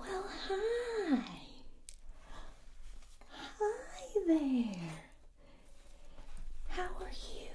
Well, hi. Hi there. How are you?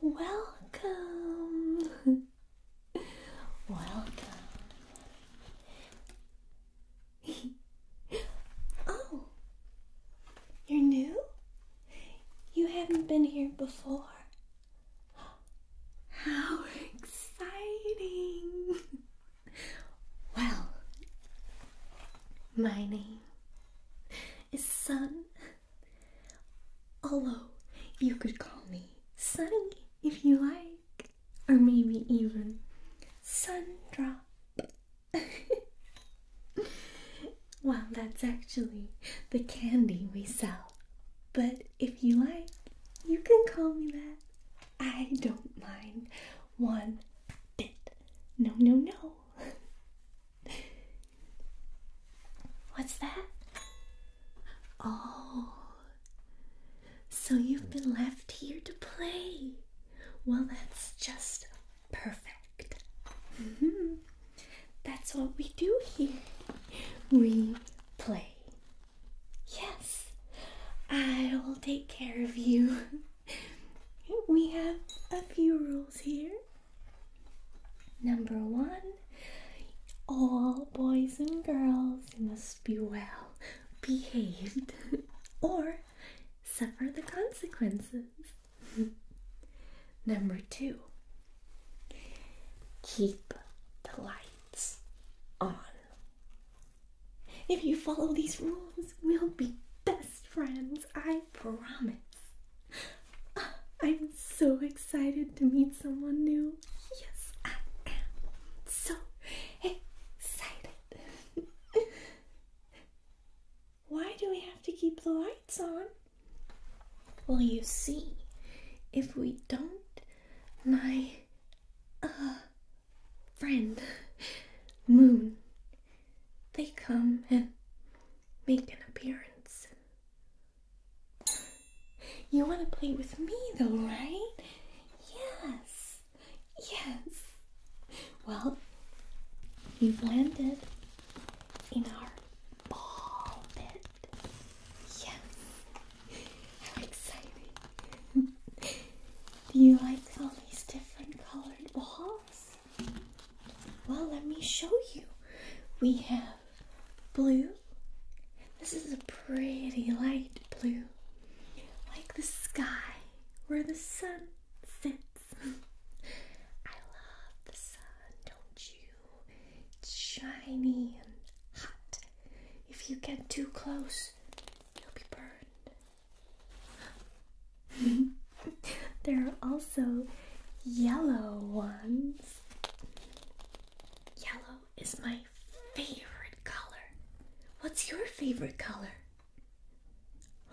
Welcome. Welcome. oh, you're new? You haven't been here before. How exciting! Well, my name is Sun. Although you could call me Sunny if you like, or maybe even Sundrop. well, that's actually the candy we sell. But if you like, you can call me that. I don't mind one bit. No, no, no. What's that? Oh, so you've been left here to play. Well, that's just perfect. Mm-hmm. That's what we do here. We play. Yes, I'll take care of you. we have a few rules here. Number one, all boys and girls must be well behaved or suffer the consequences. Number two, keep the lights on. If you follow these rules, we'll be best friends, I promise. Ah, I'm so excited to meet someone new. Yes, I am. So excited. Why do we have to keep the lights on? Well, you see, if we don't, my uh, friend, Moon, they come and make an appearance. You want to play with me, though, right? Yes, yes. Well, you've landed in our ball pit. Yes, how exciting! Do you like all these different colored balls? Well, let me show you. We have blue. This is a pretty light blue, like the sky where the sun sits. I love the sun, don't you? It's shiny and hot. If you get too close, you'll be burned. there are also yellow ones. Yellow is my favorite color. What's your favorite color?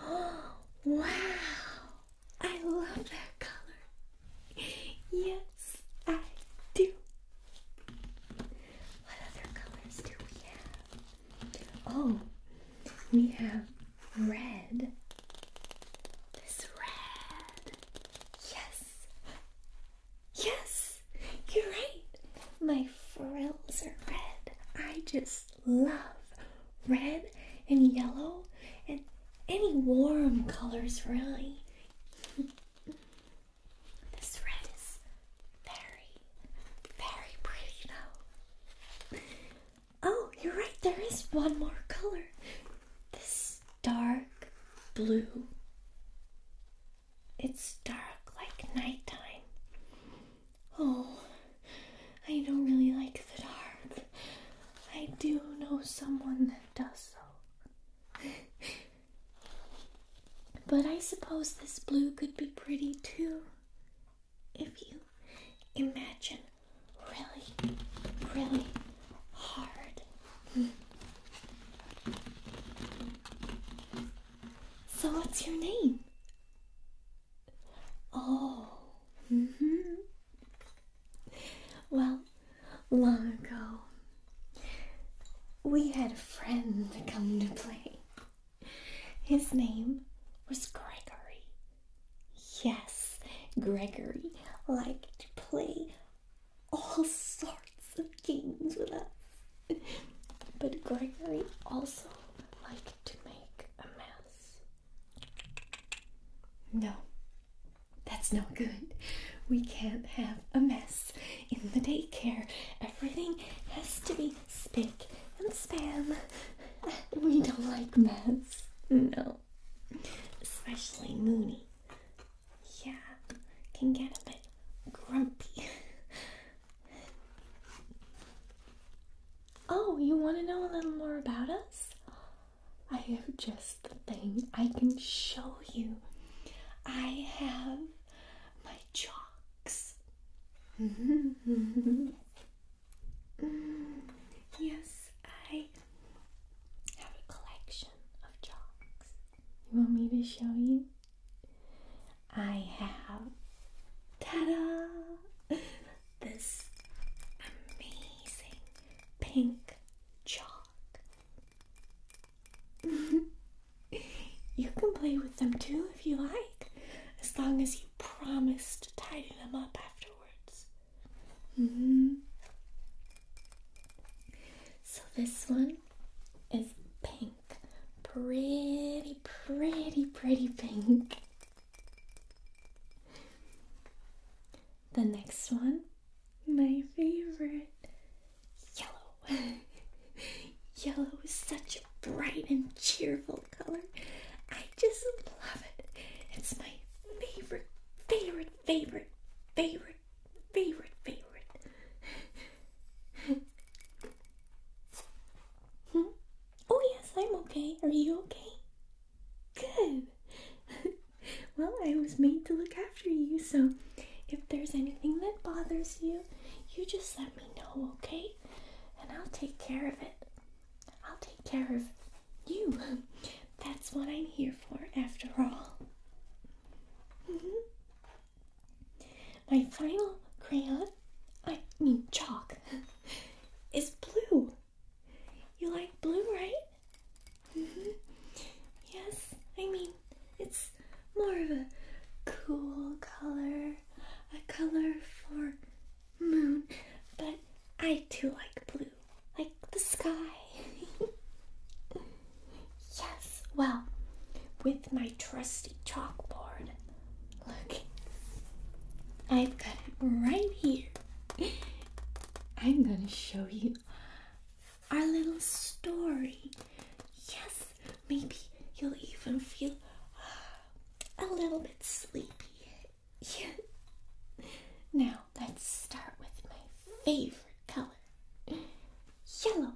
Oh, wow! I love that color. Yes, I do. What other colors do we have? Oh, we have red. This red. Yes. Yes, you're right. My frills are red. I just love red and yellow and any warm colors, really. this red is very, very pretty though. Oh, you're right, there is one more color. This dark blue. It's dark like nighttime. Oh, I don't really like the dark. I do know someone that does though. but I suppose this blue could be pretty too if you imagine really, really hard. so, what's your name? Oh, mm-hmm. Well, long ago, we had a friend come to play. His name was Gregory. Yes, Gregory liked to play all sorts of games with us. But Gregory also liked to make a mess. No, that's not good. We can't have a mess in the daycare. Everything has to be spick and span. we don't like mess. No. Especially Mooney. Yeah, can get a bit grumpy. oh, you want to know a little more about us? I have just the thing I can show you. I have my chalk. yes, I have a collection of chalks. You want me to show you? I have ta-da! This amazing pink chalk. you can play with them too if you like, as long as you you promised to tidy them up afterwards. Mm-hmm. So this one is pink. Pretty, pretty, pretty pink. The next one, my favorite, yellow. yellow is such a bright and cheerful color. I just love it. It's my favorite, favorite, favorite, favorite, favorite, favorite. hmm? Oh, yes, I'm okay. Are you okay? Good. well, I was made to look after you, so if there's anything that bothers you, you just let me know, okay? And I'll take care of it. I'll take care of you. That's what I'm here for, after all. Mm-hmm. My final crayon, I mean chalk, is blue. You like blue, right? Mm-hmm. Yes, I mean, it's more of a cool color a color for moon, but I do like blue, like the sky. yes, well, with my trusty chalkboard. Look, I've got it right here. I'm gonna show you our little story. Yes, maybe you'll even feel a little bit sleepy. Now let's start with my favorite color yellow.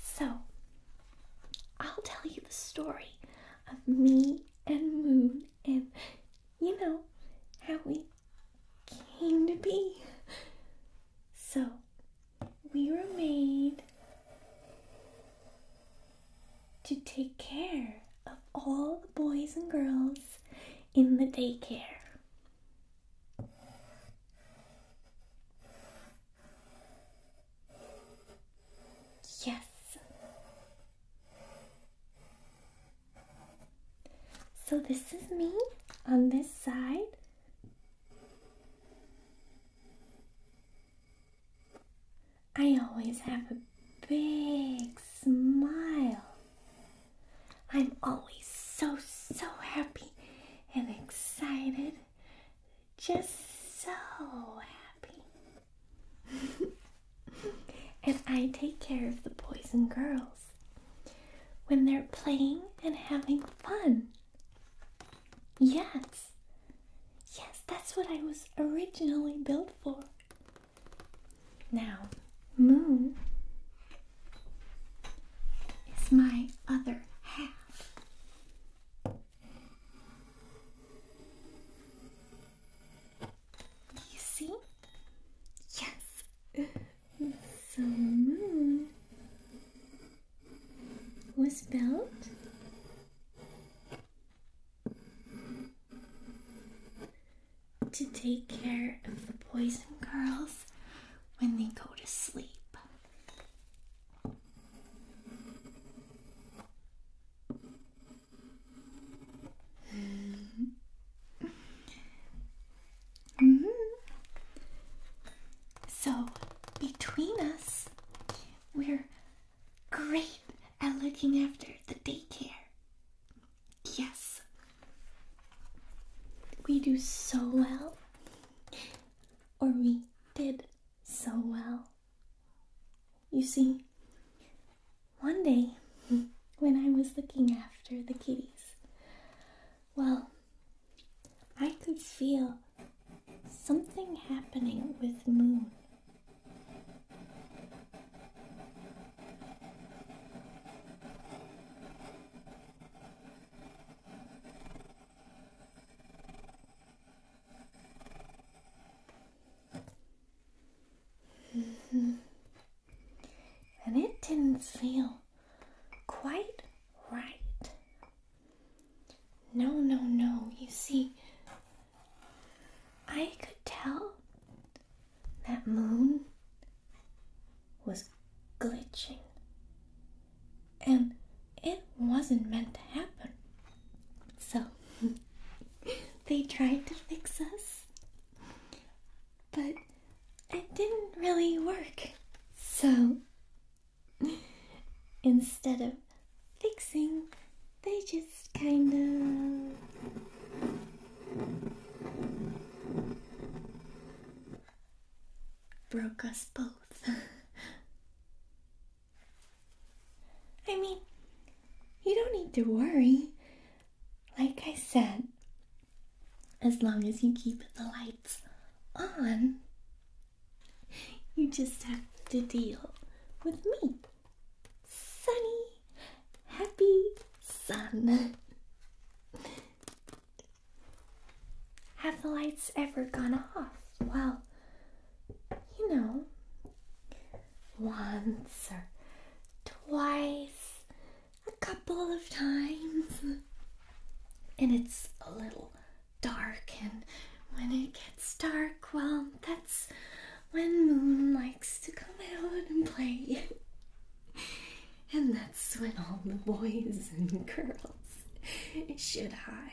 so I'll tell you the story of me and Moon and you know how we came to be. So we were made to take care of all the boys and girls in the daycare. Yes. So this is me on this side. I always have a big smile. I'm always so, so happy and excited. Just so happy. and I take care of the boys and girls when they're playing and having fun. Yes, Yes, that's what I was originally built for. Now, Moon is my other half. You see? Yes. So, Moon was built to take care of the boys and girls when they go to sleep. Mm-hmm. Mm-hmm. So, between us, we're great at looking after the daycare. Yes. We do so well. Or we did so well. You see, one day when I was looking after the kitties, well, I could feel something happening with moon. Mm-hmm. and it didn't feel quite right. No, no, no. You see, I could tell that moon was glitching. And it wasn't meant to happen. So, they tried to fix us. But it didn't really work. So, Instead of fixing, they just kind of broke us both. I mean, you don't need to worry. Like I said, as long as you keep the lights on, you just have to deal with me. Sunny, happy sun. Have the lights ever gone off? Well, you know, once or twice, a couple of times. And it's a little dark, and when it gets dark, well, that's when Moon likes to come out and play. and that's when all the boys and girls should hide.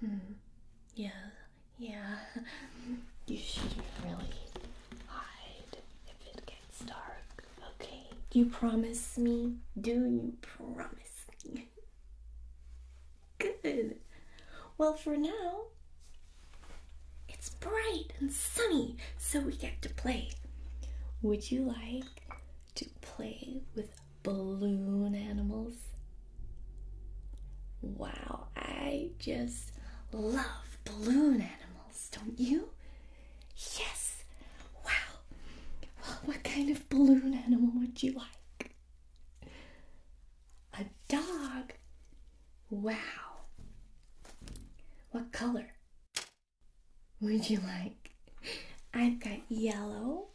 Hmm. Yeah, yeah. You should really hide if it gets dark. Okay, you promise me? Do you promise me? Good. Well, for now, it's bright and sunny, so we get to play. Would you like to play with balloon animals? Wow, I just love balloon animals, don't you? Yes. Wow. Well, what kind of balloon animal would you like? A dog? Wow. What color would you like? I've got yellow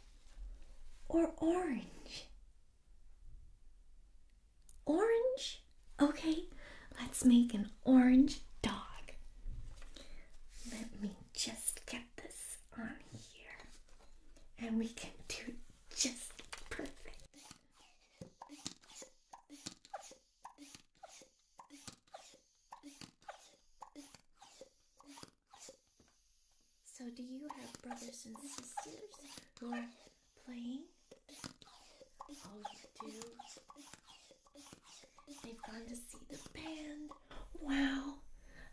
or orange. Orange? Okay, let's make an orange dog. Let me just get this on here, and we can do just perfect. So, do you have brothers and sisters who are playing? They've gone to see the band. Wow,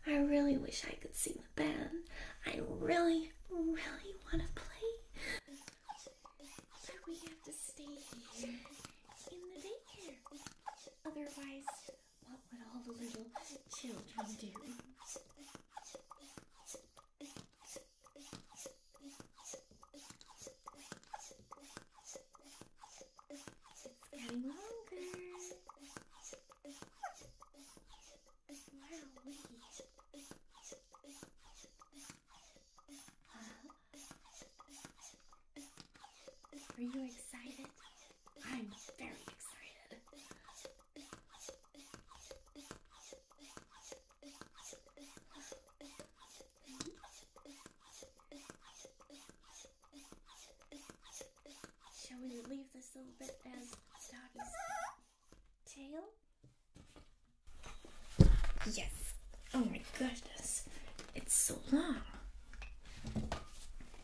I really wish I could see band. I really, really want to play. So we have to stay here in the daycare. Otherwise, what would all the little children do? longer. What are wiggies? Huh? Are you excited? I'm very excited. Shall we leave this little bit as doggy's tail? Yes. Oh my goodness. It's so long.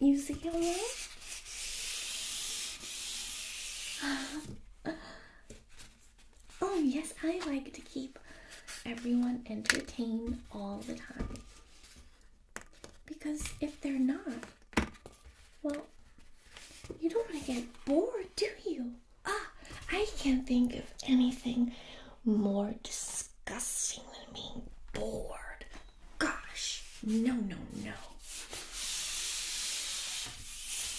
You see how long? oh yes, I like to keep everyone entertained all the time. Because if they're not, well, you don't want to get bored, do you? Ah, I can't think of anything more disgusting than being bored. Gosh, no, no, no.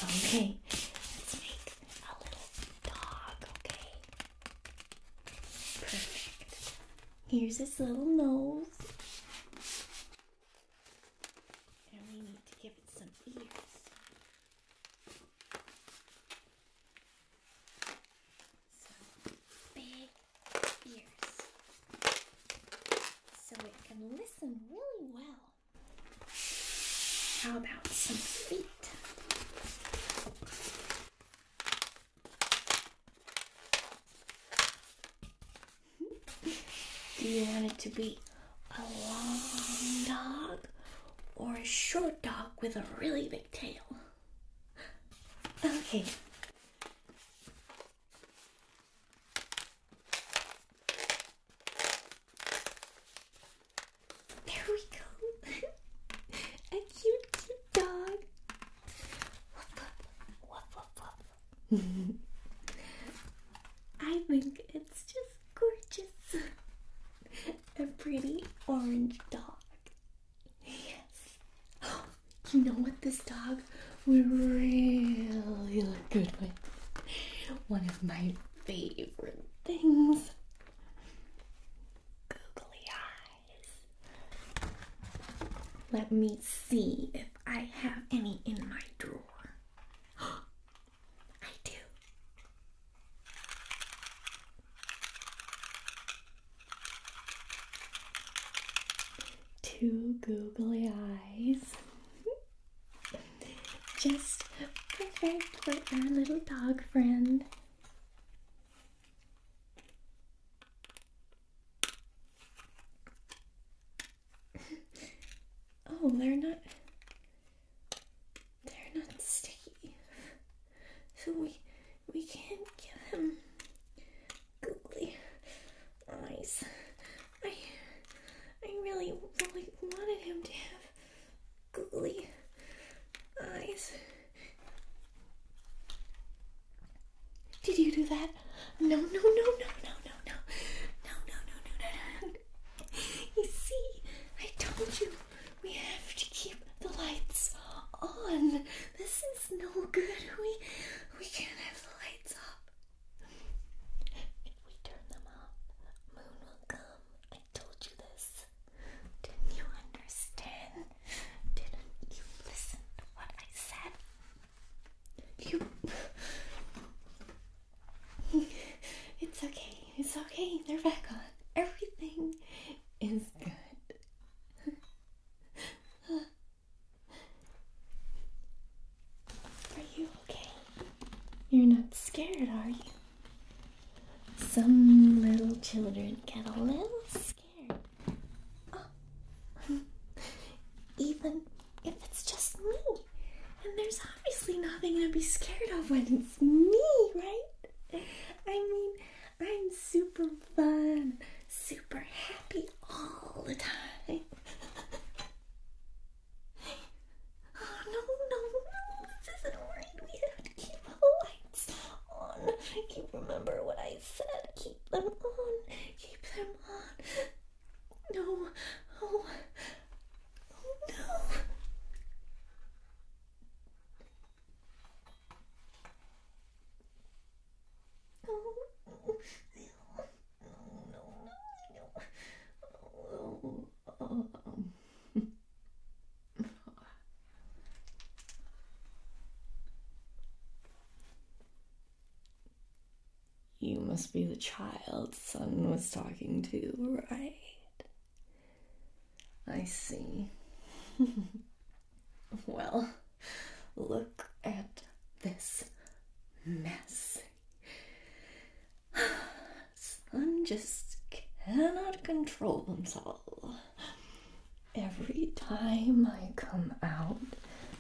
Okay, let's make a little dog, okay? Perfect. Here's his little nose. And we need to give it some ears. So big ears. So it can listen really well. How about some feet? Do you want it to be a long dog or a short dog with a really big tail? Okay. There we go. a cute, dog. I think it's just gorgeous. A pretty orange dog. Yes. Oh, you know what this dog would really look good with? One of my favorite things. Googly eyes. Let me see if I have any in my drawer. I do. Two googly eyes. Just perfect for our little dog friend oh, they're not. They're not sticky, so we we can't give him googly eyes. I I really really wanted him to have googly eyes. Did you do that? No, no, no, no, no, no, no, no, no, no, no, no, no. You see, I told you we have to keep the lights on. This is no good. We we can't have the lights up. If we turn them off, Moon will come. I told you this. Didn't you understand? Didn't you listen to what I said? it's okay. It's okay. They're back on. Everything is good. are you okay? You're not scared, are you? Some little children get a little scared. Oh, even if it's just me? And there's obviously nothing to be scared of when it's me, right? I mean, I'm super fun, super happy all the time. oh no, no, no, this isn't right. We have to keep the lights on. Keep remember what I said. Keep them on. Keep them on. No. Oh. Oh no. Oh. Oh no. No. Oh. oh, oh. You must be the child Sun was talking to, right? I see. well, look at this mess. Sun just cannot control himself. Every time I come out,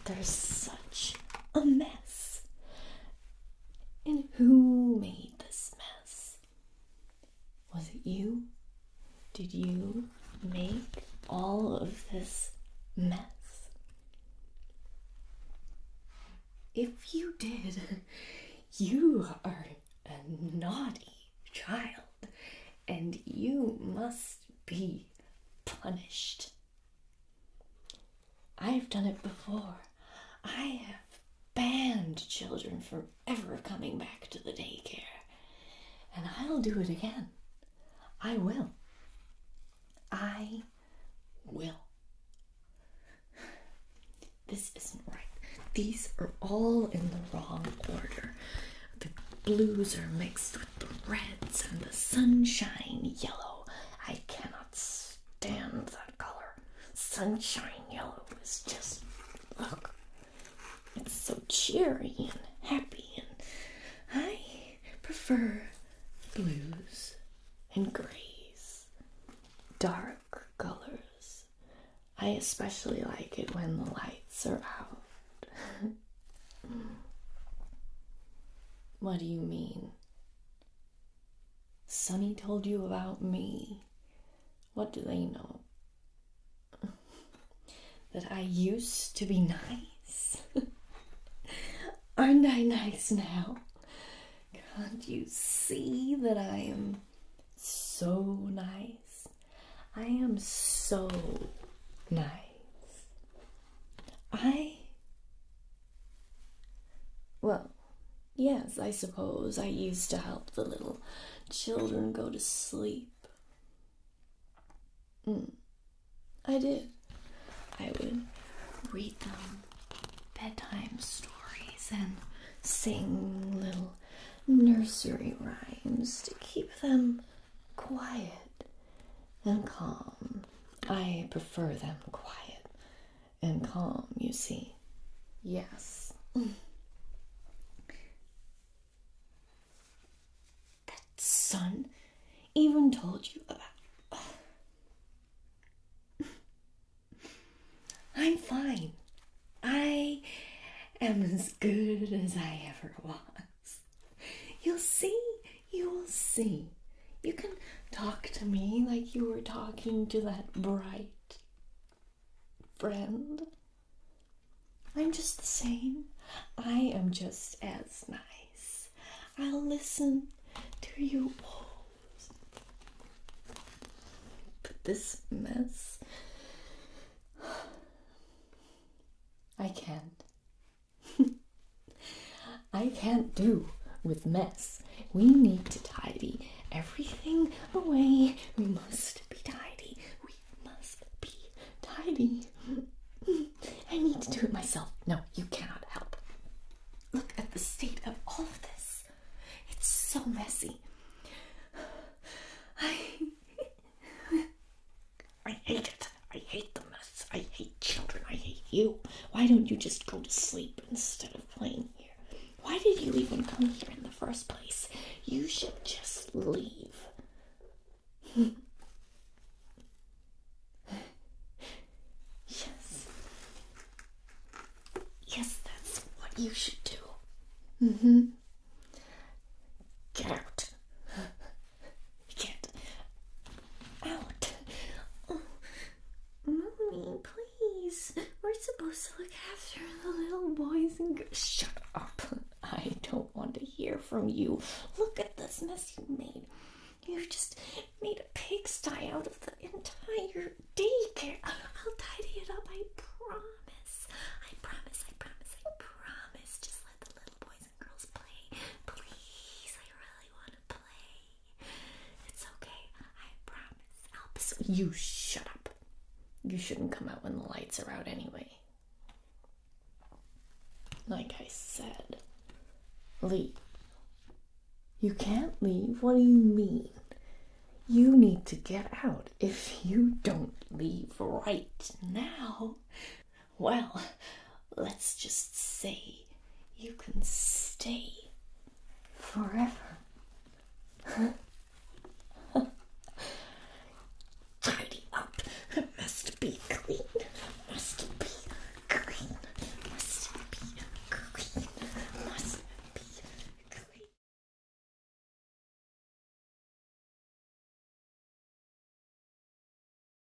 there's such a mess. And who made this mess? Was it you? Did you make all of this mess? If you did, you are a naughty child and you must be punished. I've done it before. I have banned children from ever coming back to the daycare. And I'll do it again. I will. I will. This isn't right. These are all in the wrong order. The blues are mixed with the reds and the sunshine yellow. I cannot stand that color. Sunshine yellow is just, it's so cheery and happy, and I prefer blues and grays, dark colors. I especially like it when the lights are out. What do you mean? Sonny told you about me. What do they know? that I used to be nice? Aren't I nice now? Can't you see that I am so nice? I am so nice. I. Well, yes, I suppose I used to help the little children go to sleep. Mm. I did. I would read them bedtime stories and sing little nursery rhymes to keep them quiet and calm. I prefer them quiet and calm, you see. Yes. that son even told you about. I'm fine. I am as good as I ever was. You'll see. You will see. You can talk to me like you were talking to that bright friend. I'm just the same. I am just as nice. I'll listen to you all. But this mess. I can't. I can't do with mess. We need to tidy everything away. We must be tidy. We must be tidy. I need to do it myself. No, you cannot help. Look at the state of all of this. It's so messy. I I hate it. I hate the mess. I hate children. I hate you. Why don't you just go to sleep instead of playing here? Why did you even come here in the first place? You should just leave. yes. Yes, that's what you should do. Mm hmm. Get out. You Out. Oh. please. We're supposed to look after the little boys and girls. Shut up. I don't want to hear from you. Look at this mess you made. you just made a pigsty out of the entire day. daycare. I'll tidy it up, I promise. I promise, I promise, I promise. Just let the little boys you shut up. You shouldn't come out when the lights are out anyway. Like I said, leave. You can't leave. What do you mean? You need to get out. If you don't leave right now, well, let's just say you can stay forever. Tidy up. must be clean. Must be clean. Must be clean. Must be clean.